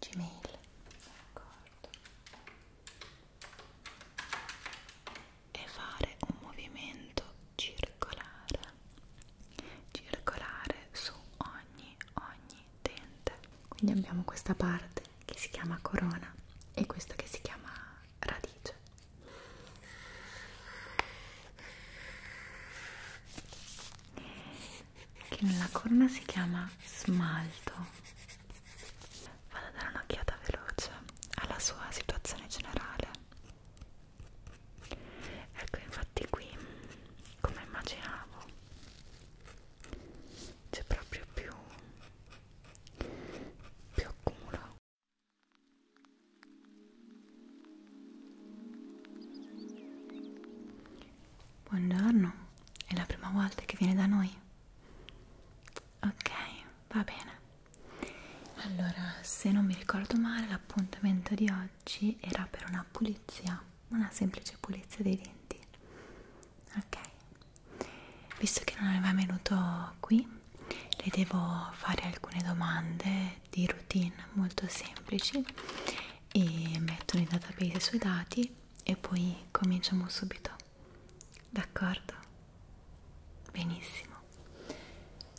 Gmail, d'accordo. E fare un movimento circolare, circolare su ogni, ogni dente. Quindi abbiamo questa parte che si chiama corona e questa che si chiama radice che nella corna si chiama smalto vado a dare un'occhiata veloce alla sua situazione generale ecco infatti qui come immaginavo c'è proprio più più accumulo Buongiorno, è la prima volta che viene da noi? Ok, va bene. Allora, se non mi ricordo male, l'appuntamento di oggi era per una pulizia, una semplice pulizia dei denti. Ok, visto che non aveva venuto qui, le devo fare alcune domande è di routine molto semplici e mettono in database i suoi dati e poi cominciamo subito d'accordo? benissimo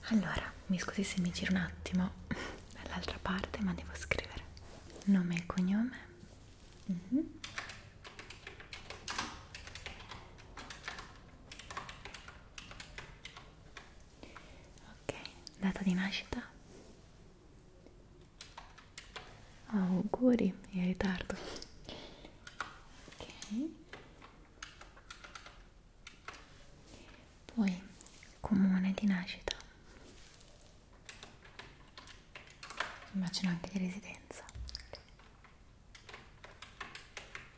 allora mi scusi se mi giro un attimo dall'altra parte ma devo scrivere nome e cognome mm -hmm ok data di nascita oh, auguri in ritardo ok poi comune di nascita immagino anche di residenza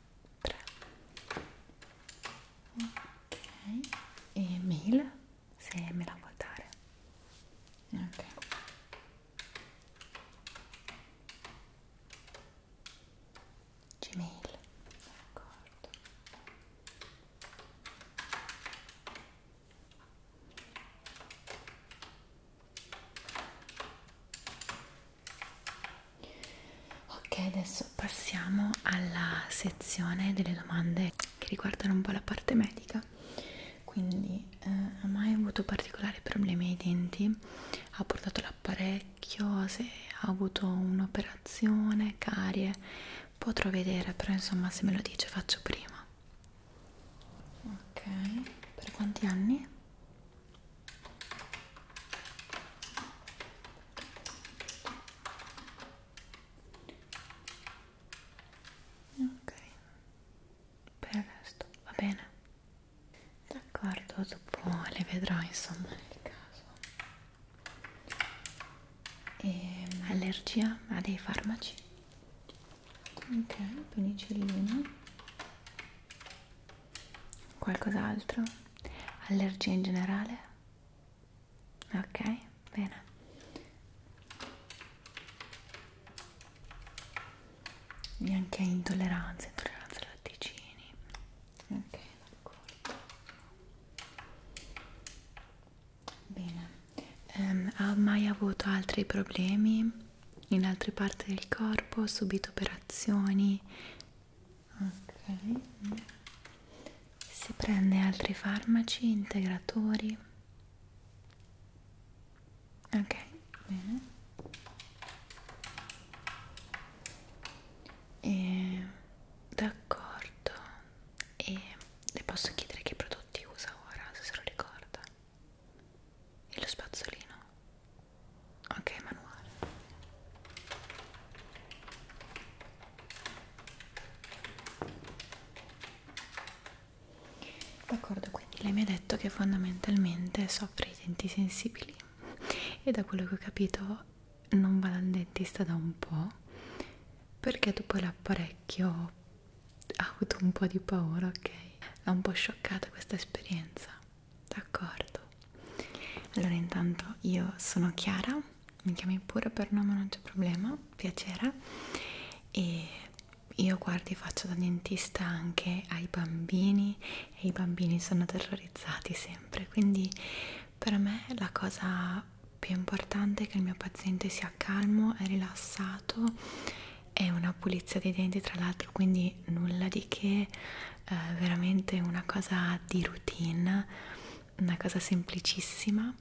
3 ok e mail se me la vuoi dare ok gmail d'accordo ok adesso passiamo alla sezione delle domande che riguardano un po' la parte medica quindi eh, ha mai avuto particolari problemi ai denti ha portato l'apparecchio se ha avuto un'operazione carie potrò vedere però insomma se me lo dice faccio prima ok per quanti anni ok per il resto va bene d'accordo dopo le vedrò insomma nel caso e ehm, allergia a dei farmaci ok penicillina qualcos'altro allergia in generale ok bene neanche intolleranza intolleranza ai latticini ok d'accordo bene um, ha mai avuto altri problemi in altre parti del corpo subito operazioni ok si prende altri farmaci integratori ok bene e d'accordo e le posso chiedere che prodotti usa ora se se lo ricorda e lo spazzolino ok manuale D'accordo, quindi lei mi ha detto che fondamentalmente soffre i denti sensibili e da quello che ho capito non va dal dentista da un po' perché dopo l'apparecchio ha avuto un po' di paura, ok? L'ha un po' scioccata questa esperienza, d'accordo? Allora intanto io sono Chiara mi chiami pure per nome non c'è problema, piacere e io guardi faccio da dentista anche ai bambini e i bambini sono terrorizzati sempre quindi per me la cosa più importante è che il mio paziente sia calmo e rilassato è una pulizia dei denti tra l'altro quindi nulla di che eh, veramente una cosa di routine una cosa semplicissima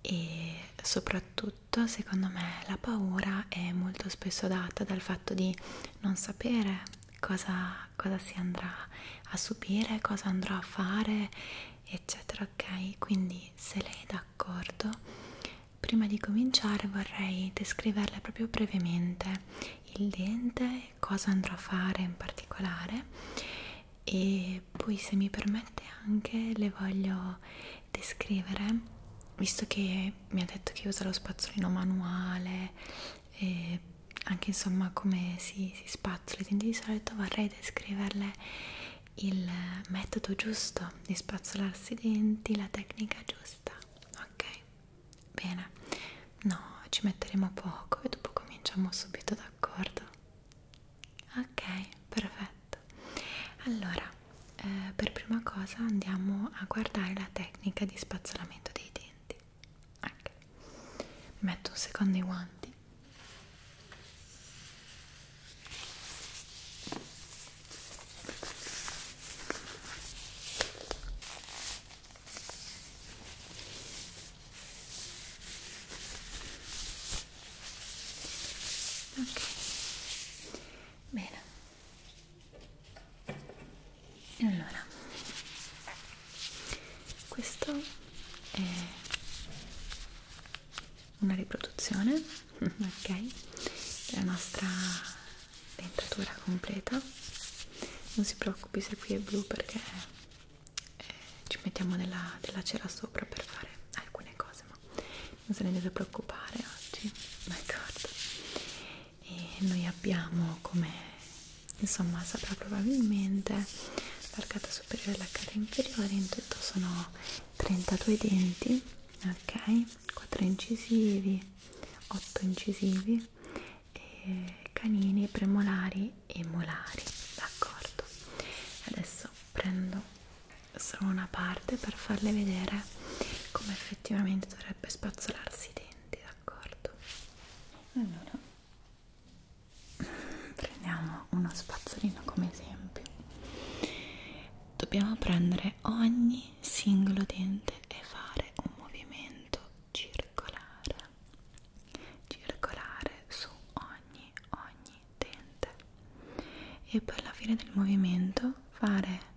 e soprattutto secondo me la paura è molto spesso data dal fatto di non sapere cosa, cosa si andrà a subire, cosa andrò a fare eccetera ok quindi se lei è d'accordo prima di cominciare vorrei descriverle proprio brevemente il dente cosa andrò a fare in particolare e poi se mi permette anche le voglio descrivere visto che mi ha detto che usa lo spazzolino manuale e anche insomma come si, si spazzoli quindi di solito vorrei descriverle il metodo giusto di spazzolarsi i denti la tecnica giusta ok bene no ci metteremo poco e dopo cominciamo subito d'accordo ok perfetto allora eh, per prima cosa andiamo a guardare la tecnica di spazzolamento dei denti okay. metto un secondo i guanti ok bene allora questo è una riproduzione ok della nostra dentatura completa non si preoccupi se qui è blu perché eh, ci mettiamo della, della cera sopra per fare alcune cose ma non se ne deve preoccupare oggi d'accordo e noi abbiamo come insomma saprà probabilmente l'arcata superiore e l'arcata inferiore in tutto sono 32 denti ok 4 incisivi 8 incisivi e canini premolari oculari e molari d'accordo adesso prendo solo una parte per farle vedere come effettivamente dovrebbe spazzolarsi i denti d'accordo allora prendiamo uno spazzolino come esempio dobbiamo prendere ogni singolo dente e fare un movimento circolare circolare su ogni ogni dente e per la fine del movimento fare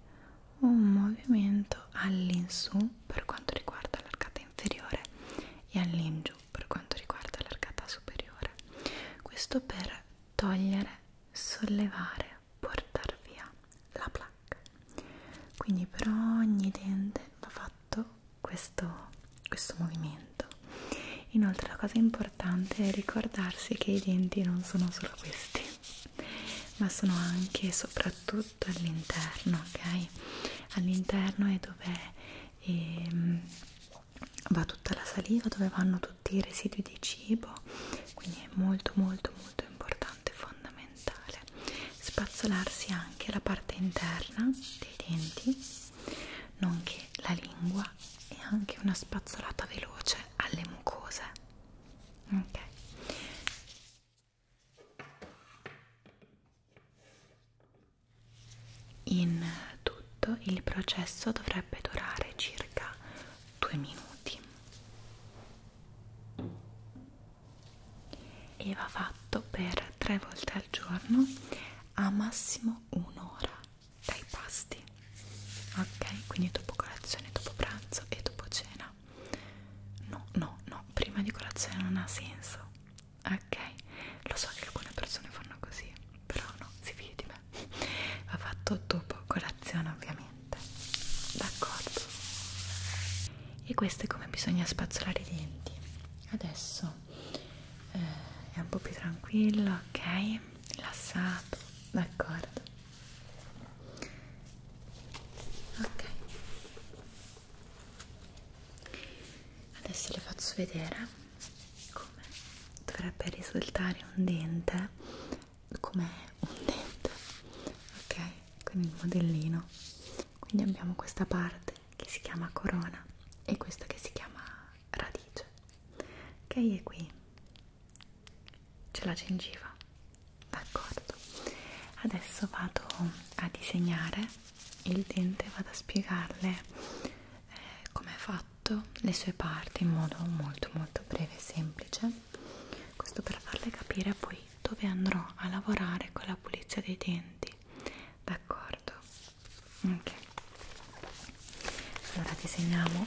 un movimento all'insù per quanto riguarda l'arcata inferiore e all'ingiù per quanto riguarda l'arcata superiore questo per togliere sollevare portare via la placca quindi per ogni dente va fatto questo, questo movimento. Inoltre la cosa importante è ricordarsi che i denti non sono solo questi, ma sono anche e soprattutto all'interno, ok? All'interno è dove ehm, va tutta la saliva, dove vanno tutti i residui di cibo, quindi è molto molto molto importante, fondamentale spazzolarsi anche la parte interna dei denti nonché la lingua e anche una spazzolata veloce alle mucose. Ok. In tutto il processo dovrebbe durare circa due minuti e va fatto per tre volte al giorno a massimo un'ora dai pasti ok quindi dopo colazione dopo pranzo e dopo cena no no no prima di colazione non ha senso ok lo so che alcune persone fanno così però no si fidi di me va fatto dopo colazione ovviamente d'accordo e questo è come bisogna spazzolare i denti adesso eh, è un po' più tranquillo, ok? Rilassato, d'accordo? Ok, adesso le faccio vedere come dovrebbe risultare un dente, come un dente, ok? Con il modellino. Quindi abbiamo questa parte che si chiama corona e questa che si chiama radice che è qui c'è la gengiva d'accordo adesso vado a disegnare il dente vado a spiegarle eh, come è fatto le sue parti in modo molto molto breve e semplice questo per farle capire poi dove andrò a lavorare con la pulizia dei denti d'accordo ok allora disegniamo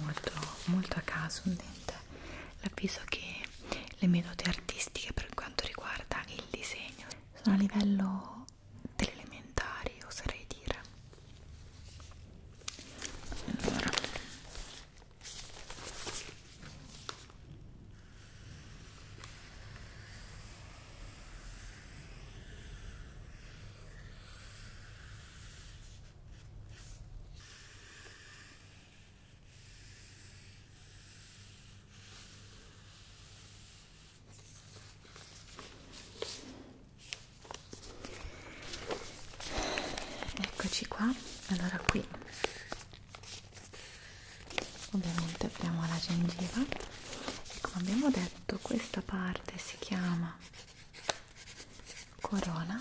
molto molto a caso un dente l'avviso che le metodi artistiche per quanto riguarda il disegno sono a livello delle elementari oserei dire allora Eccoci qua, allora qui ovviamente apriamo la gengiva e come abbiamo detto petto questa parte si chiama corona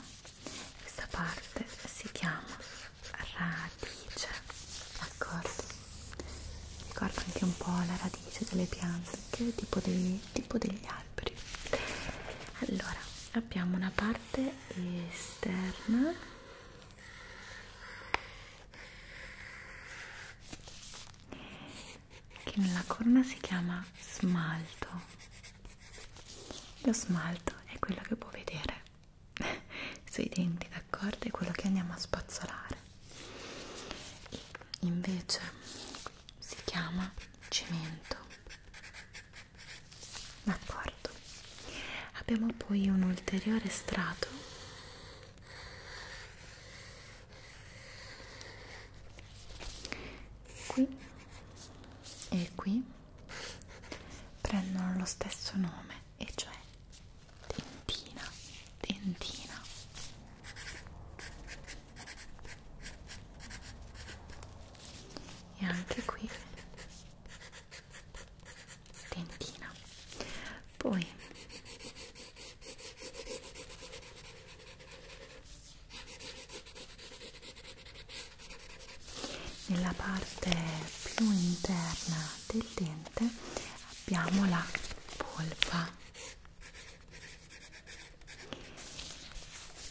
questa parte si chiama radice d'accordo ricorda anche un po' la radice delle piante che è tipo, dei, tipo degli alberi allora abbiamo una parte esterna che nella corona si chiama smalto lo smalto è quello che può vedere sui denti d'accordo è quello che andiamo a spazzolare e invece si chiama cemento d'accordo abbiamo poi un ulteriore strato qui e qui prendono lo stesso nome e cioè dentina dentina e anche qui dentina poi nella parte più interna del dente abbiamo la polpa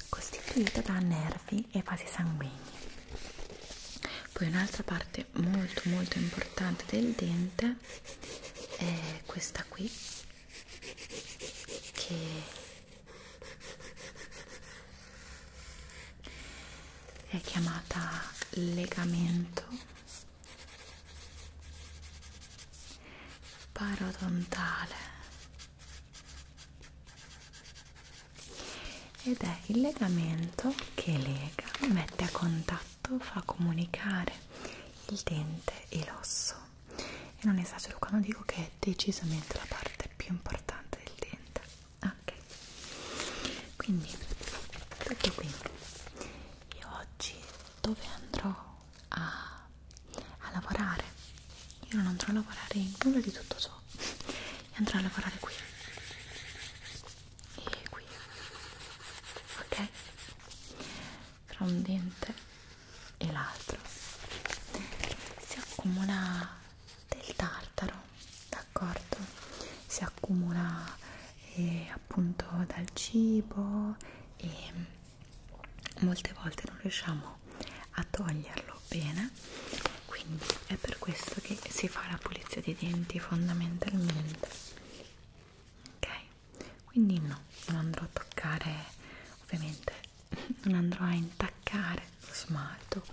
costituita da nervi e vasi sanguigni poi un'altra parte molto molto importante del dente è questa qui che è chiamata legamento parodontale ed è il legamento che lega, mette a contatto contatto fa comunicare il dente e l'osso e non esagero quando dico che è decisamente la parte più importante del dente ok quindi tutto qui io oggi dove andrò a, a lavorare io non andrò a lavorare in nulla di tutto ciò e andrò a lavorare qui e qui ok fra un dente e l'altro si accumula del tartaro d'accordo si accumula eh, appunto dal cibo e molte volte non riusciamo a toglierlo bene quindi è per questo che si fa la pulizia dei denti fondamentalmente ok quindi no, non andrò a toccare ovviamente non andrò a intaccare lo smalto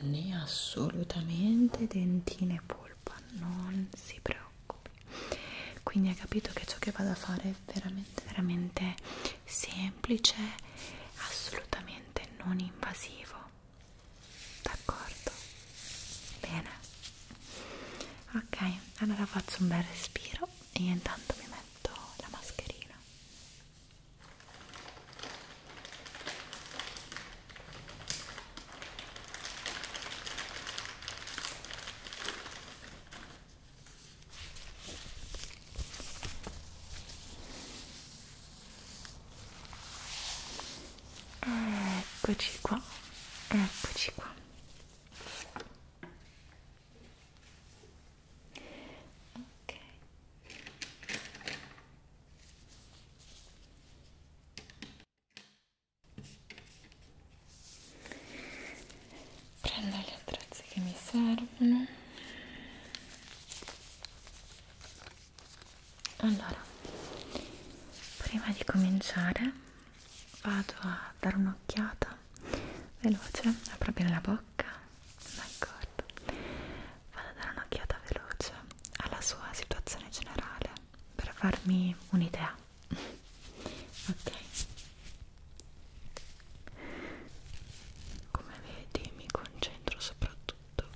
né assolutamente dentine e polpa non si preoccupi quindi hai capito che ciò che vado a fare è veramente veramente semplice assolutamente non invasivo d'accordo bene ok allora faccio un bel respiro e io intanto mi metto la mascherina Eccoci qua, eccoci qua ok prendo gli attrezzi che mi servono allora prima di cominciare vado a dare un'occhiata veloce, apro bene la bocca, d'accordo, vado a dare un'occhiata veloce alla sua situazione generale per farmi un'idea, ok? Come vedi mi concentro soprattutto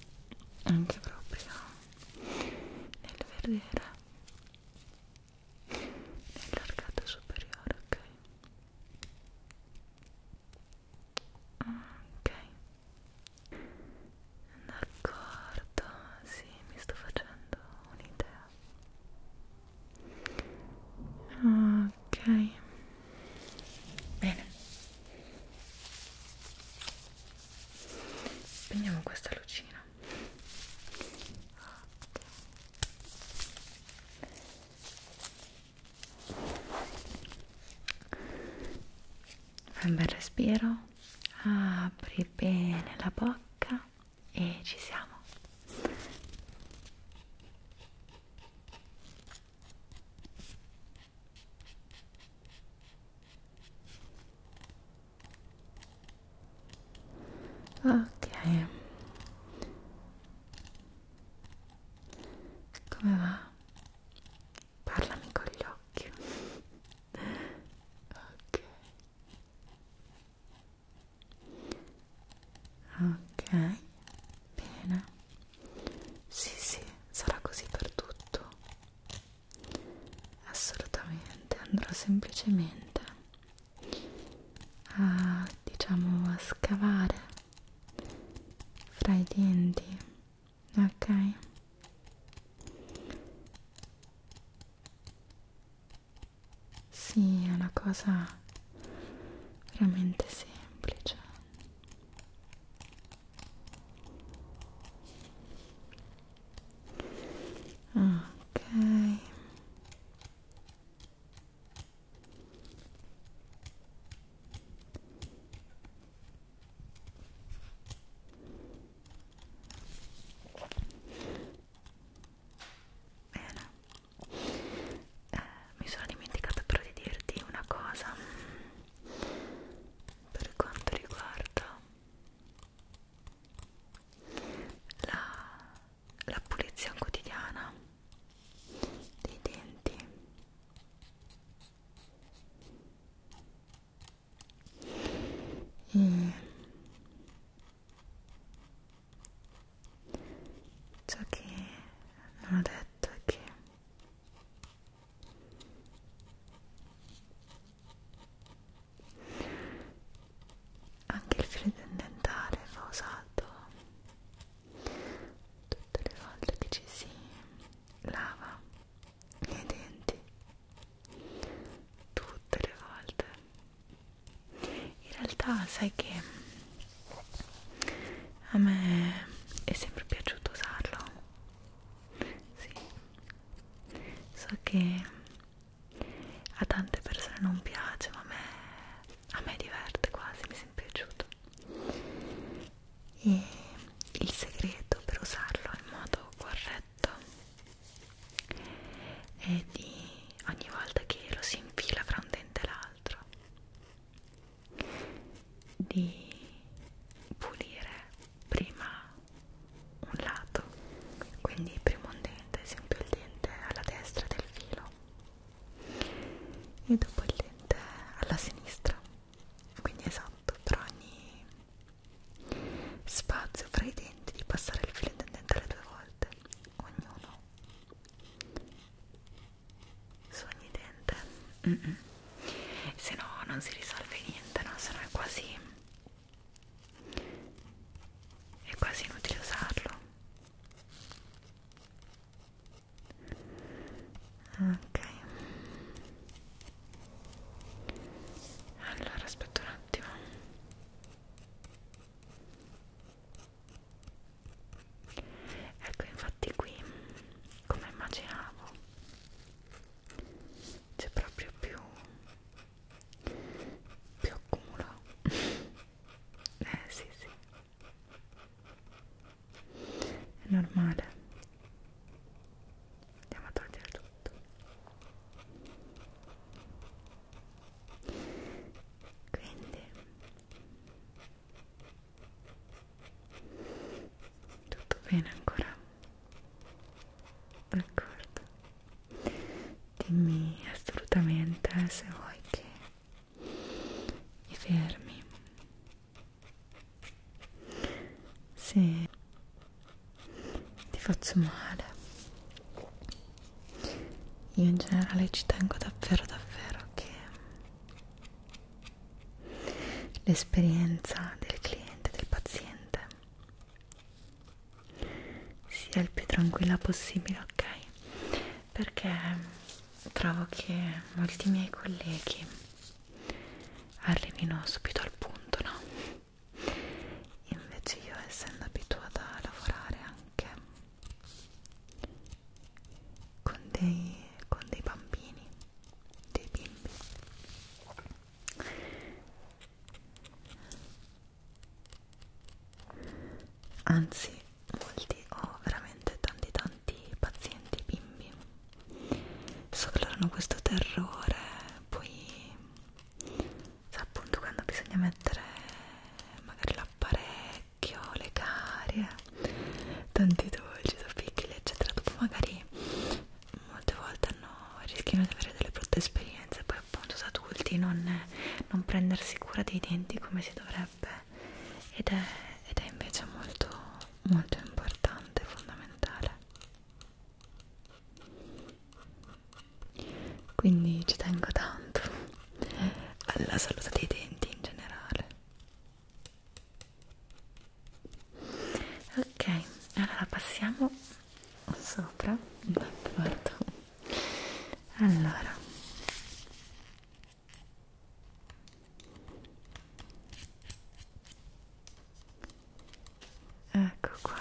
anche proprio nel vedere nell'arcata superiore, ok? Ok, d'accordo, sì, mi sto facendo un'idea. Ok, bene. Spegniamo questa lucina. Okay. Fai un bel respiro, apri bene la bocca e ci siamo ok come va? parlami con gli occhi ok ok bene sì sì sarà così per tutto assolutamente andrò semplicemente a diciamo a scavare fra i denti ok sì è una cosa veramente semplice ok Bene, eh, mi sono dimenticata però di dirti una cosa per quanto riguarda la la pulizia quotidiana dei denti e ciò che non ho detto è che anche il filo dentale va usato tutte le volte che ci si lava i denti tutte le volte in realtà sai che a me è sempre piaciuto usarlo sì so che a tante persone non piace ma a me, a me diverte quasi, mi è sempre piaciuto e il segreto per usarlo in modo corretto è di ogni volta che lo si infila fra un dente e l'altro di pulire prima un lato quindi prima un dente, esempio il dente alla destra del filo e dopo il lente alla sinistra quindi esatto per ogni spazio fra i denti di passare il filo intendente due volte ognuno su ogni dente mm -mm. se no non si risolve niente no se no è quasi è quasi inutile usarlo ok allora aspetta un attimo ecco infatti qui come immaginavo c'è proprio più più accumulo eh sì sì è normale andiamo a togliere tutto quindi tutto bene ancora d'accordo dimmi assolutamente se vuoi che i vermi se ti faccio male io in generale ci tengo davvero davvero che l'esperienza del cliente del paziente sia il più tranquilla possibile ok perché trovo che molti miei colleghi arrivino subito al punto, no? Invece io essendo abituata a lavorare anche con dei, con dei bambini, dei bimbi anzi molti ho oh, veramente tanti tanti pazienti bimbi so che loro hanno questo terrore poi cioè, appunto quando bisogna mettere magari l'apparecchio le carie tanti dolci piccoli eccetera dopo magari molte volte no, rischiano di avere delle brutte esperienze poi appunto da adulti non, non prendersi cura dei denti come si dovrebbe piacerebbe ed è, ed è invece molto molto importante fondamentale quindi ci tengo tanto alla salute dei denti in generale ok allora passiamo sopra allora Ecco qua.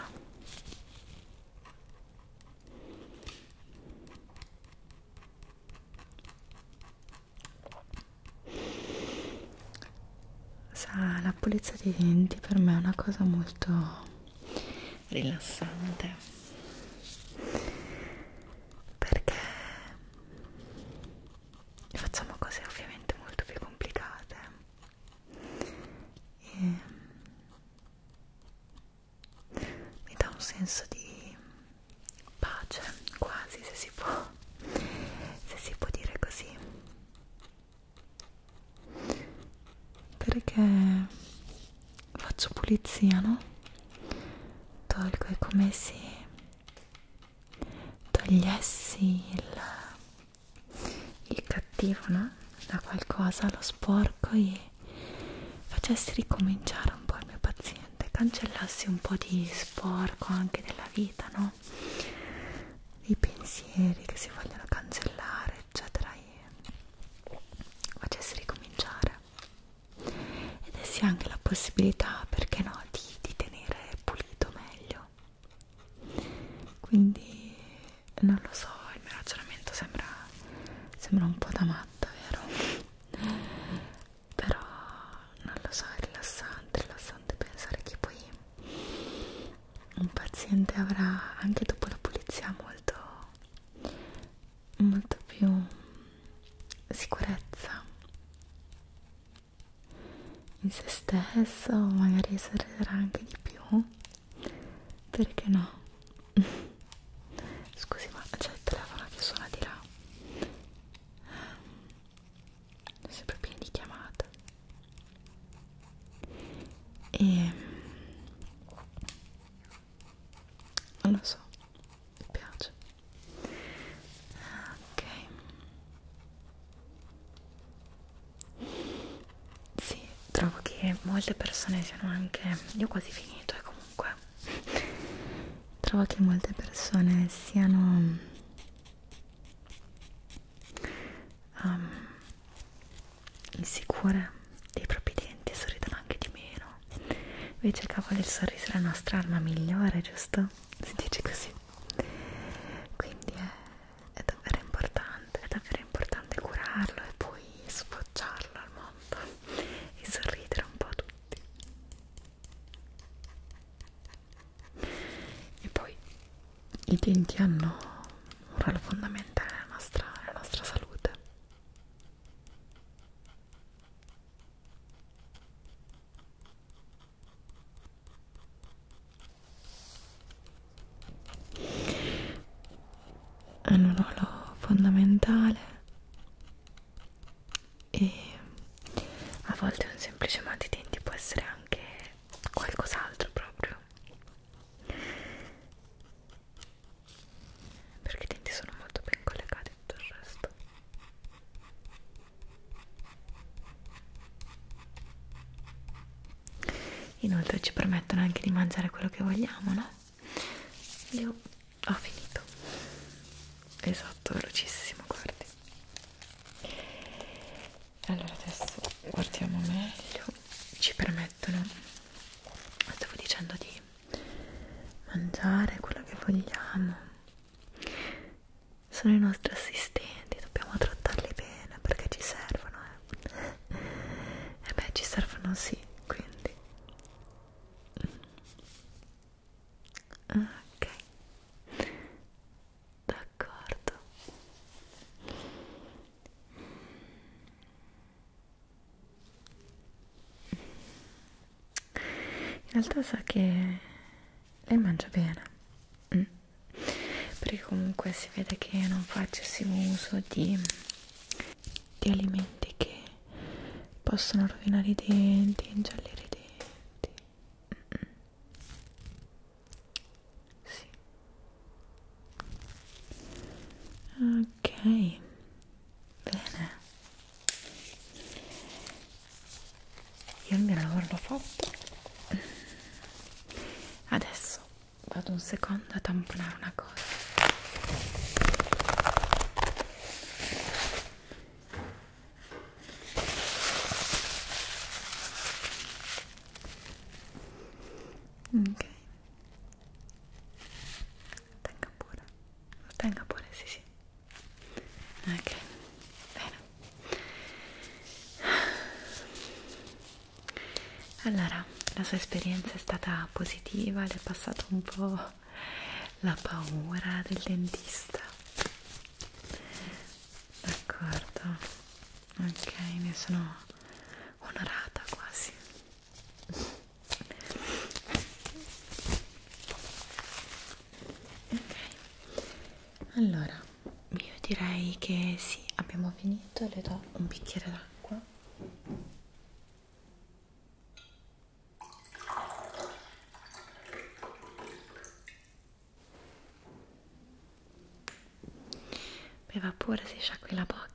Sa, la pulizia dei denti per me è una cosa molto rilassante perché facciamo cose ovviamente molto più complicate e mm, mi dà un senso di pace quasi se si può se si può dire così perché faccio pulizia, no? Tolgo, è come se togliessi il, il cattivo, no? Da qualcosa, lo sporco e facessi ricominciare un po' il mio paziente, cancellassi un po' di sporco anche della vita, no? I pensieri che si vogliono cancellare, eccetera, e facessi ricominciare ed è sì anche la possibilità, perché no, di, di tenere pulito meglio. Quindi non lo so, il mio ragionamento sembra, sembra un po' da matta, vero? Però non lo so, è rilassante, rilassante pensare che poi un paziente avrà anche dopo la pulizia molto molto più sicurezza in se stesso, magari sorriderà anche di più, perché no? Scusi, ma c'è il telefono che suona di là. Sono sempre pieni di chiamate. E ehm, non lo so mi piace ok sì, trovo che molte persone siano anche io ho quasi finito e eh, comunque trovo che molte persone siano um, insicure dei propri denti e sorridono anche di meno Invece cavolo il sorriso è la nostra arma migliore, giusto? Si dice così. Quindi è, è davvero importante, è davvero importante curarlo e poi sfoggiarlo al mondo e sorridere un po' a tutti. E poi i denti hanno un ruolo fondamentale nella nostra, nella nostra salute hanno un ruolo fondamentale e a volte un semplice mal di denti può essere anche qualcos'altro proprio perché i denti sono molto ben collegati tutto il resto inoltre ci permettono anche di mangiare quello che vogliamo no? io ho finito esatto velocissimo guardi allora adesso guardiamo meglio ci permettono stavo dicendo di mangiare quello che vogliamo sono i nostri assistenti dobbiamo trattarli bene perché ci servono eh. e eh beh ci servono sì quindi ok d'accordo in realtà so che lei mangia bene mm. perché comunque si vede che non fa eccessivo uso di, di alimenti che possono rovinare i denti, ingiallire i denti mm -mm. Sì. ok bene io il mio lavoro l'ho fatto adesso vado un secondo a tamponare una cosa ok tenga pure tenga pure sì sì ok bene allora la sua esperienza è stata positiva le è passato un po' la paura del dentista d'accordo ok ne sono onorata quasi ok allora io direi che sì abbiamo finito le do un bicchiere d'acqua beva pure si sciacqui la bocca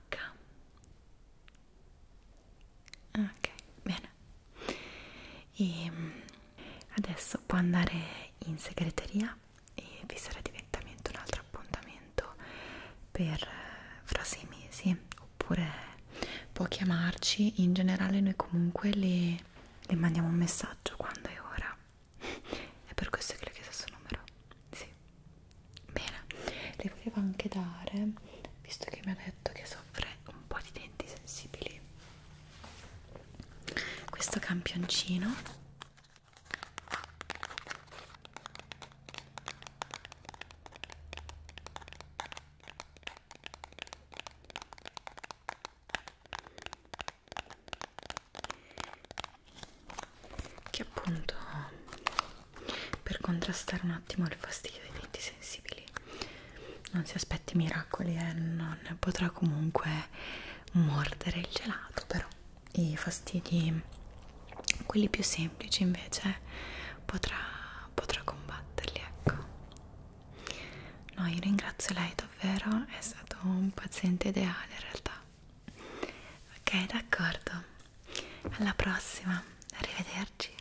Ah, ok bene e ehm, adesso può andare in segreteria e vi sarà direttamente un altro appuntamento per eh, fra sei mesi oppure può chiamarci in generale noi comunque le, le mandiamo un messaggio quando è ora è per questo che le ho chiesto il suo numero sì bene le volevo anche dare visto che mi ha detto che soffre un po' di denti sensibili questo campioncino che appunto per contrastare un attimo il fastidio dei denti sensibili non si aspetti miracoli e eh? non potrà comunque mordere il gelato però i fastidi quelli più semplici invece potrà, potrà combatterli ecco no io ringrazio lei davvero è stato un paziente ideale in realtà ok d'accordo alla prossima arrivederci